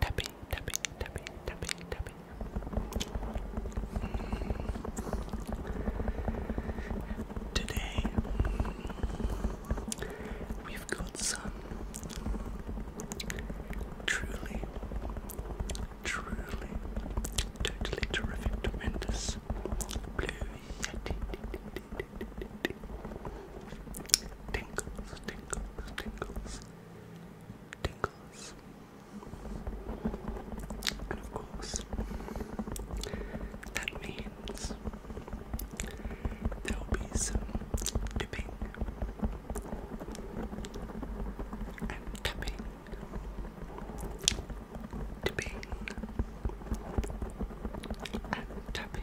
Tappy, tappy, tappy, tappy, tappy. Today we've got some truly, truly, totally terrific, tremendous blue yeti. Tingles, tingles, tingles, tingles. And of course, that means there will be some dipping and tapping, dipping and tapping.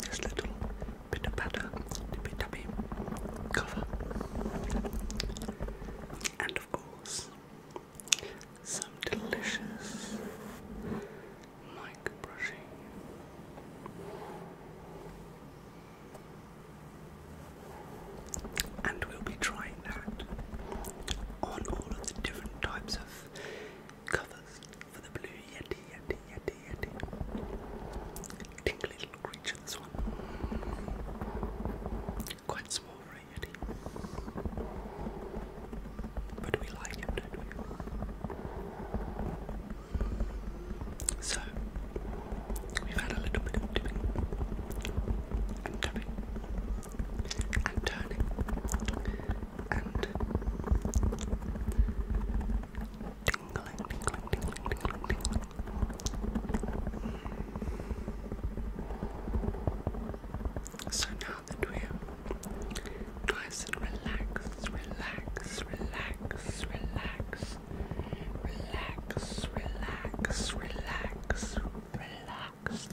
this little bit of batter, dippy tappy cover, and of course, some delicious mic brushing. And we'll be trying that on all of the different types of cover for the blue yeti, yeti, yeti, yeti. Tingly little creature, this one. Quite small for a yeti. But we like him, don't we? So, we've had a little bit of dipping and tapping and turning so now that we're nice and relaxed, relax, relax, relax, relax, relax, relax, relax, relax.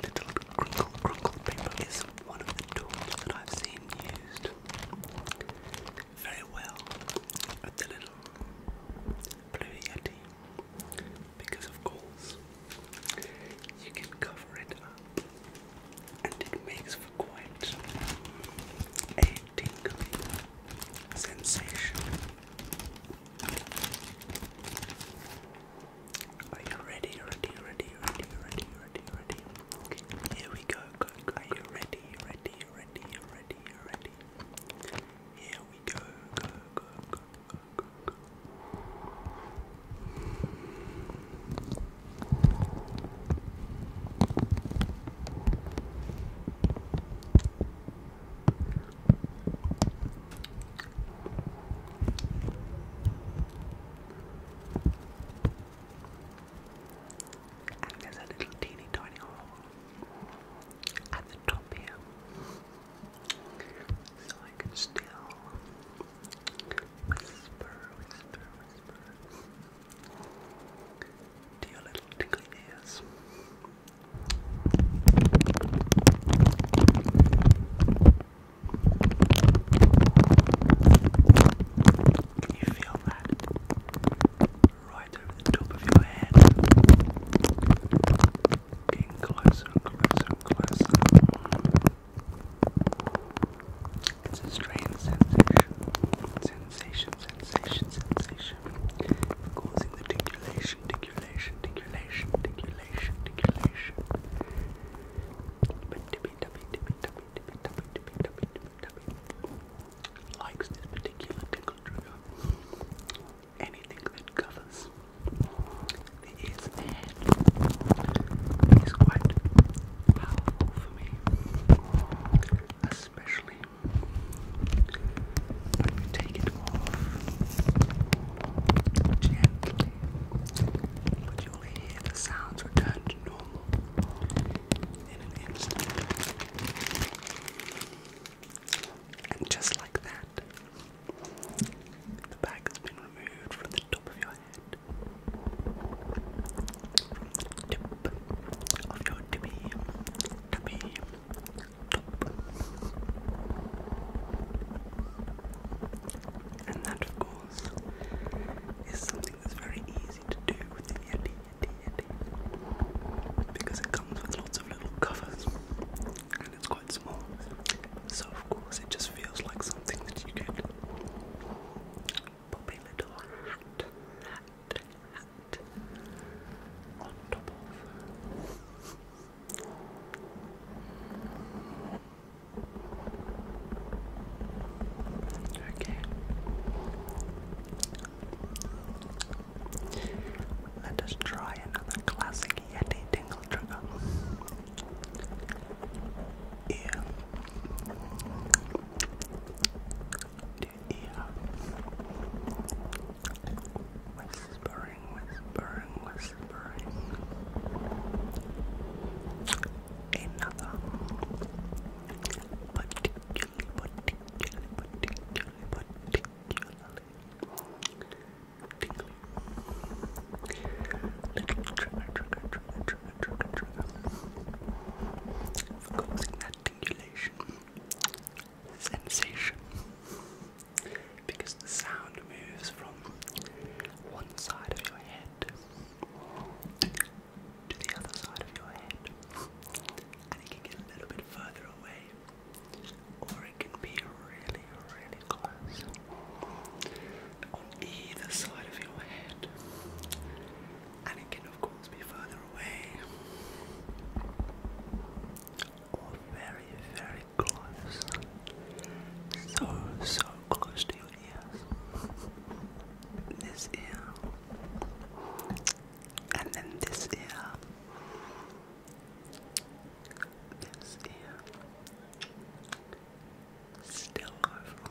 This little crinkle crinkle paper is one of the tools that I've seen used very well at the little Blue Yeti because of course you can cover it up and it makes for quite a tingly sensation. Are you ready? Ready? Ready? Ready? Ready? Ready? Ready? Here we go. go, go. Are you ready? Ready? Ready? Ready? Ready? Here we go. Go. Go. Go. Go. go, and there's a little teeny tiny hole at the top here. So I can still whisper, whisper, whisper. Dear little tickly ears. Can you feel that? Right over the top of your head. Getting closer closer closer. It's a strange sensation. Sensation, sensation, sensation, causing the ticulation, ticulation, ticulation, ticulation, ticulation. But Tibby Tubby, Tibby Tubby, Tibby Tubby, Tibby Tubby, Tibby Tubby likes this particular tickle trigger. Anything that covers the ears and the head is quite powerful for me. A when you take it off gently, you'll hear the sounds return to normal in an instant. And just like that, the bag has been removed from the top of your head. Tip And that, of course, is something that's very easy to do with the Yeti, Yeti, Yeti. Because it comes with lots of little covers and it's quite small. So, of course, it just feels like something that you can pop a little hat, hat, on top of. Okay. Let us try another classic Yeti tingle trigger. Yeah ear. Whispering, whispering, whispering. Another particularly, particularly, particularly, particularly tingly. Little trigger, trigger, trigger, trigger, trigger, that sensation because the sound moves from one side of your head to the other side of your head and it can get a little bit further away or it can be really really close on either side of your head and it can of course be further away or very, very close. So, so close to your ears. This ear, and then this ear, this ear, still over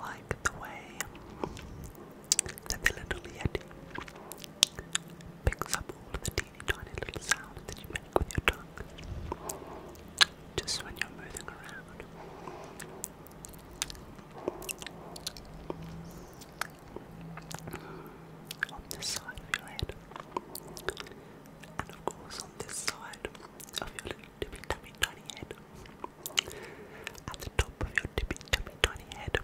like the way that the little yeti picks up all the teeny tiny little sounds that you make with your tongue just when you're moving around. On this side of your head, and of course, on this side, of your little tippy tummy tiny head. At the top of your tippy tummy tiny head.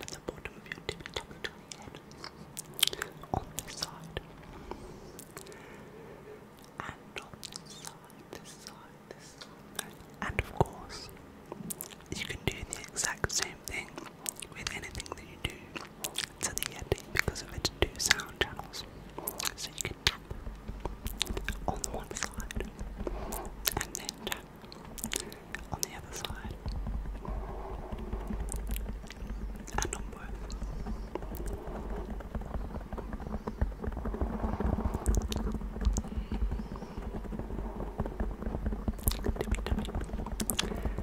at the bottom of your tippy tummy tiny head. On this side. And on this side, this side, this side. And of course, you can do the exact same thing with anything that you do to the Yeti because of its two sound channels. So you can on the one side and then on the other side and on both. Tippy, tippy.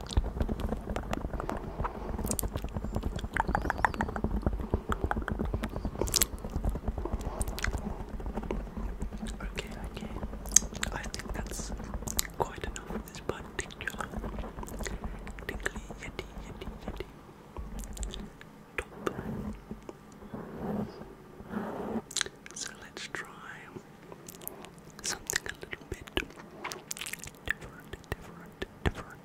Okay, okay. I think that's quite enough for this particular tickly yeti yeti top. So let's try something a little bit different, different, different,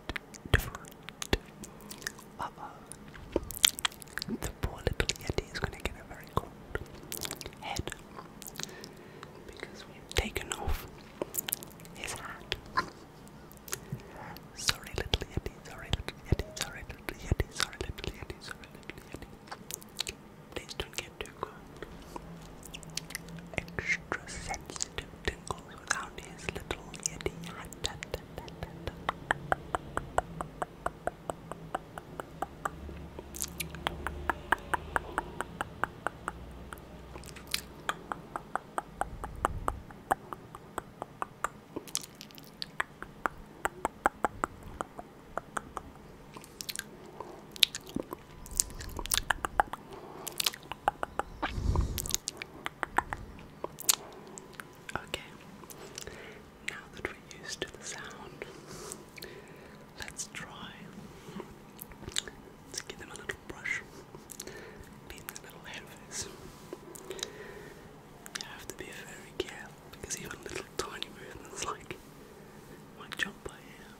different. Uh oh. The poor little Yeti is gonna get a very cold head because we've taken off his hat. Sorry, little Yeti, sorry, little Yeti, sorry, little Yeti, sorry, little Yeti, sorry, little Yeti. Please don't get too good. Extra sensitive tingles without his little yeti hat. Okay, now that we're used to the sound, let's try to give them a little brush in the little hair face. You have to be very careful because even little tiny movements like my jumper here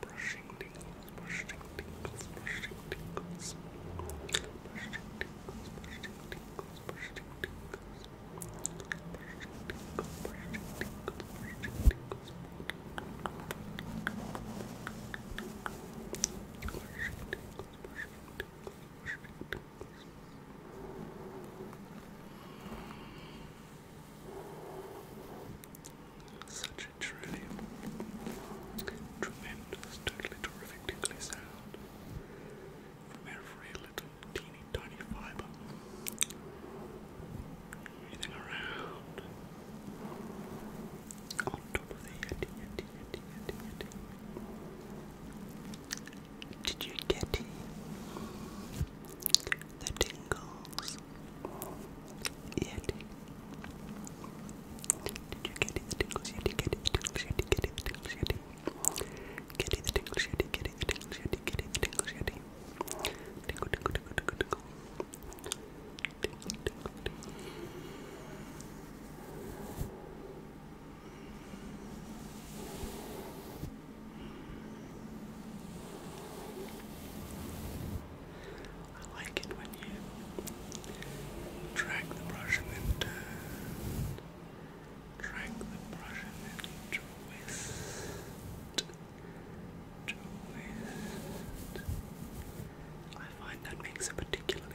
Brushing tingles, brushing tingles, brushing tingles. Brushing tingles, brushing tingles, brushing tingles. Brushing tingles, brushing tingles, brushing tingles. Brushing tingles, brushing tingles, brushing tingles. Such a truly tremendous, totally terrific tickly sound from every little teeny tiny fiber. Breathing around on top of the yeti, yeti, yeti, yeti, yeti. Did you get it? The tingles. Yeti. Did you get it? The tingles. Yeti. Get it. The tingles. Yeti. Get it. The tingles. Yeti. Get it. tingles. Yeti. Get it. Get it. tingles. Yeti. Tingle. Tingle. Tingle. Tingle. Tingle. Tingle. Tingle. Tingle. I like it when you drag the brush and then Drag the brush and then twist. Twist. I find that makes a particularly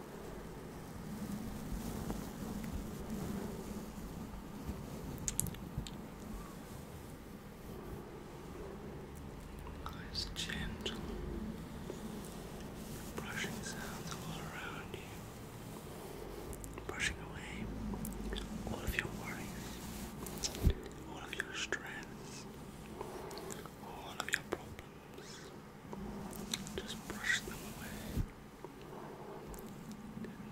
Nice gentle brushing sounds all around you, brushing away all of your worries, all of your stress, all of your problems. Just brush them away.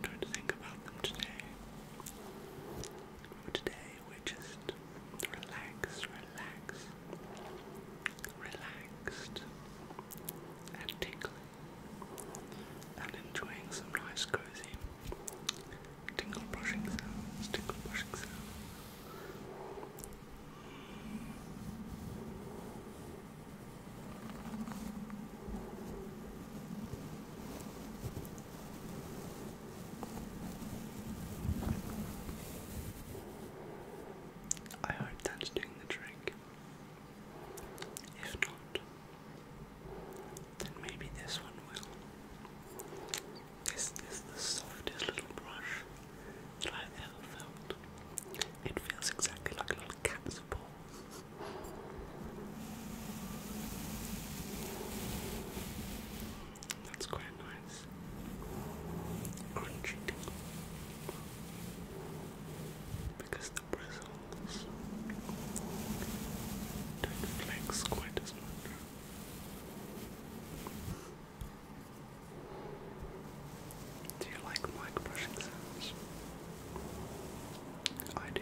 I to think about them today. today we're just relaxed, relaxed, relaxed, and tingling, and enjoying some nice cozy tingle brushing tingle brushing I hope that's doing the trick. If not, then maybe this one will. This is the softest little brush like I ever felt. It feels exactly like a little cat's paw. That's quite nice. Crunchy Because the bristles don't flex quite as much. Do you like mic brushing sounds? I do.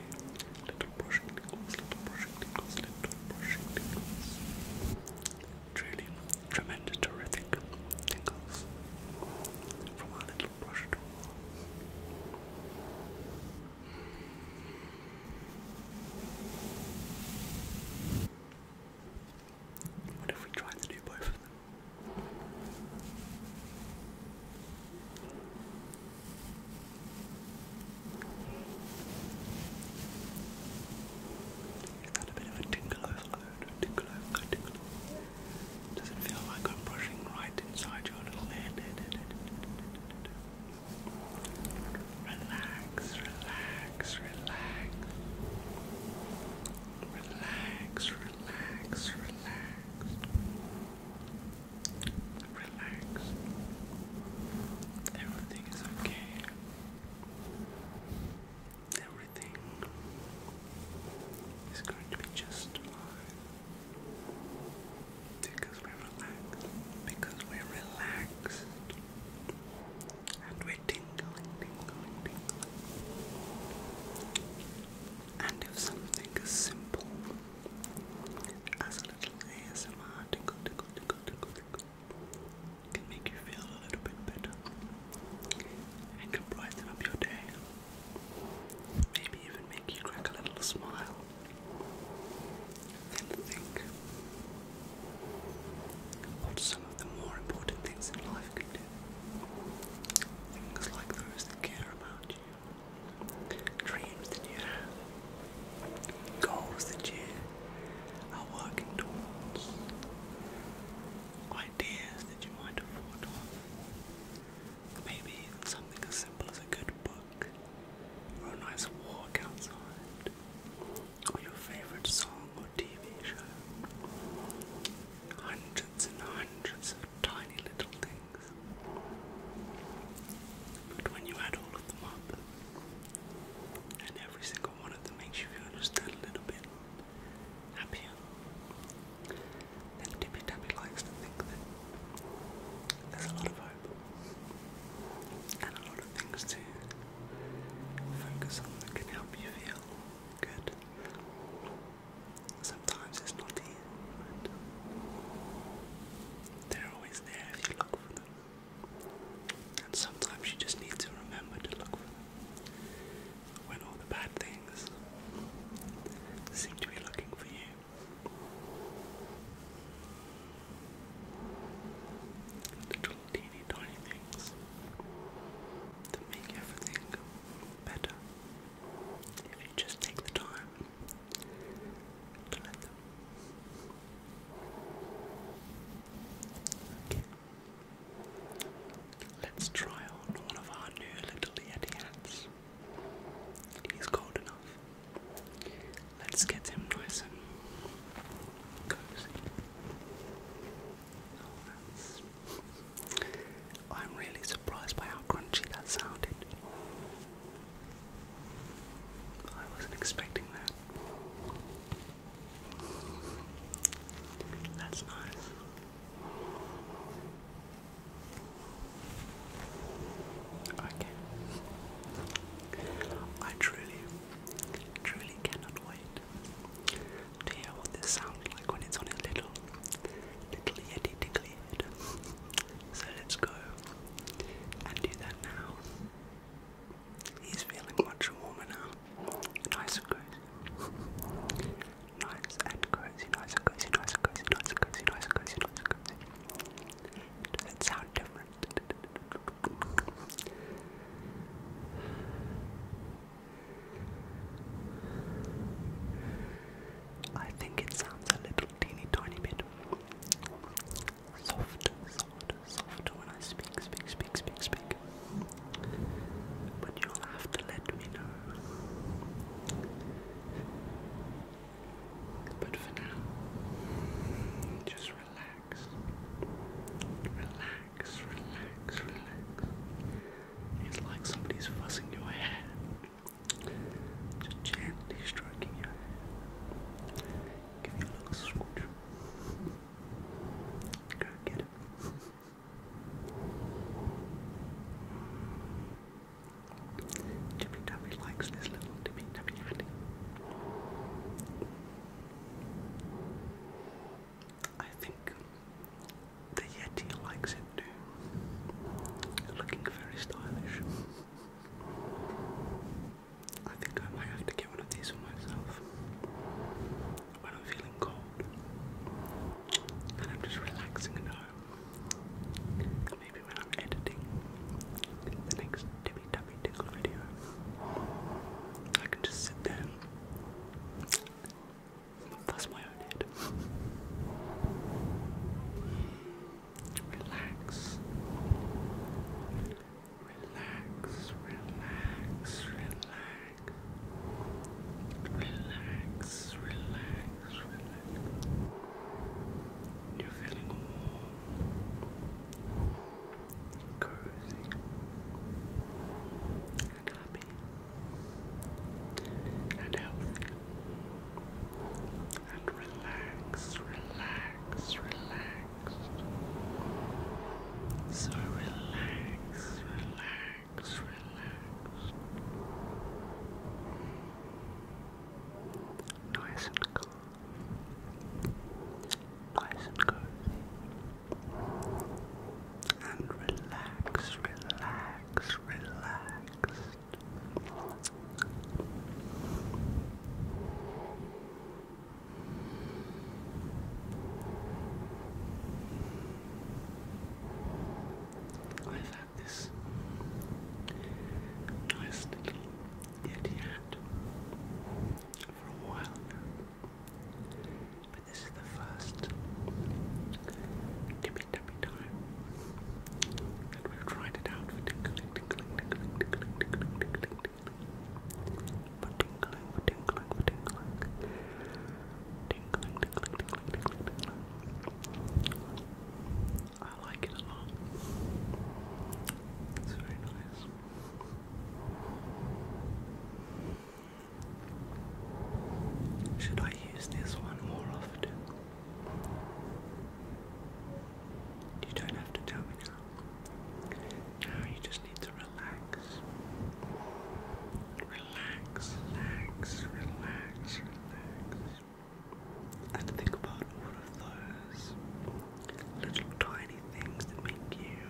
Little brushing little brushing little brushing tingles. Truly tremendous, terrific tingles from our little brush what if we tried to do both of them? Is a bit of a tingle overload? tingle overload, tingle Does it feel like I'm brushing right inside your little head? Relax, relax, relax. Relax, relax, relax. Relax. Everything is okay. Everything is going to be just fine. Because we're Because we're And we waiting, waiting, waiting. And if something is simple as a little ASMR tickle, tickle, tickle, tickle, tickle, can make you feel a little bit better and can brighten up your day, maybe even make you crack a little smile, then think what some of the more important things in life can do. Things like those that care about you, dreams that you have, goals that you are working towards, ideas that you might have thought Maybe even something as simple as a good book, or a nice walk outside, or your favourite song or TV show. Hundreds and hundreds of tiny little things. But when you add all of them up, and every single one of them makes you feel a little bit happier, then Tippy Tappy likes to think that there's a lot of hope and a lot of things to focus on that can feel good. Sometimes it's not easy, they're always there if you look for them. And sometimes you just need to remember to look for them. When all the bad things seem to be looking for you. It teeny tiny things that make everything better if you just take the time to let them. Okay. Let's try on one of our new little Yeti hats. He's cold enough. Let's get him nice and cozy. I'm really surprised by how crunchy that sounded. I wasn't expecting that. That's nice. Okay. I truly, truly cannot wait to hear what this sounds like when it's on its little, little yeti tickly So let's go and do that now. He's feeling much warmer now. Nice and cozy, nice and cozy, nice and cozy, nice and cozy, nice and cozy, nice and cozy. Does it sound different? I think it sounds a little teeny tiny bit soft, soft, soft when I speak, speak, speak, speak, speak. But you'll have to let me know. But for now, just relax. Relax relax, It's like somebody's fussing your head. Just gently stroking your head. Give you a little scooch. Go get it. Tippy Tappy likes this little Tippy Tappy hat. I think the Yeti likes it too. Looking very stylish. I think I might have to get one of these for myself when I'm feeling cold and I'm just relaxing at home. maybe when I'm editing the next Tibby Tubby Tickle video, just sit there and my own head. Relax. Relax, relax, relax. Relax, relax, cozy, and happy, and healthy, and relax, relax, relax. So relax, relax, relax. Nice and calm nice and cozy. And relax, relax, relaxed. I've had this nice little yeti hat for a while now. But this is the first tippy tappy time that we've tried it out for tinkling, tinkling, tinkling, tinkling, tinkling, tinkling, tinkling. For tinkling, for tinkling, for tinkling. Tinkling, tinkling, tinkling, tinkling, tinkling. I like it a lot. It's very nice. Should I use this one more often? You don't have to tell me now. Now you just need to relax. Relax, relax, relax, And think about all of those little tiny things that make you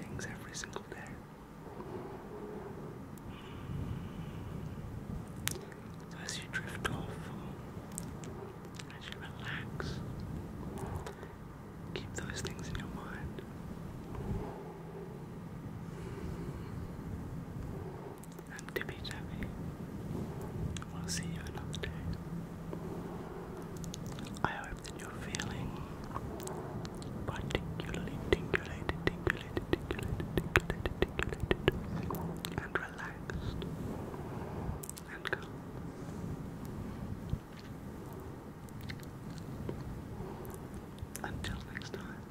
things every single day. So as you drift off, as you relax, keep those things in your mind. I'm Tippy Tappy. We'll see you another I that you're feeling particularly tingulated, tingulated, tingulated, tingulated, tingulated, and relaxed and calm. Until next time.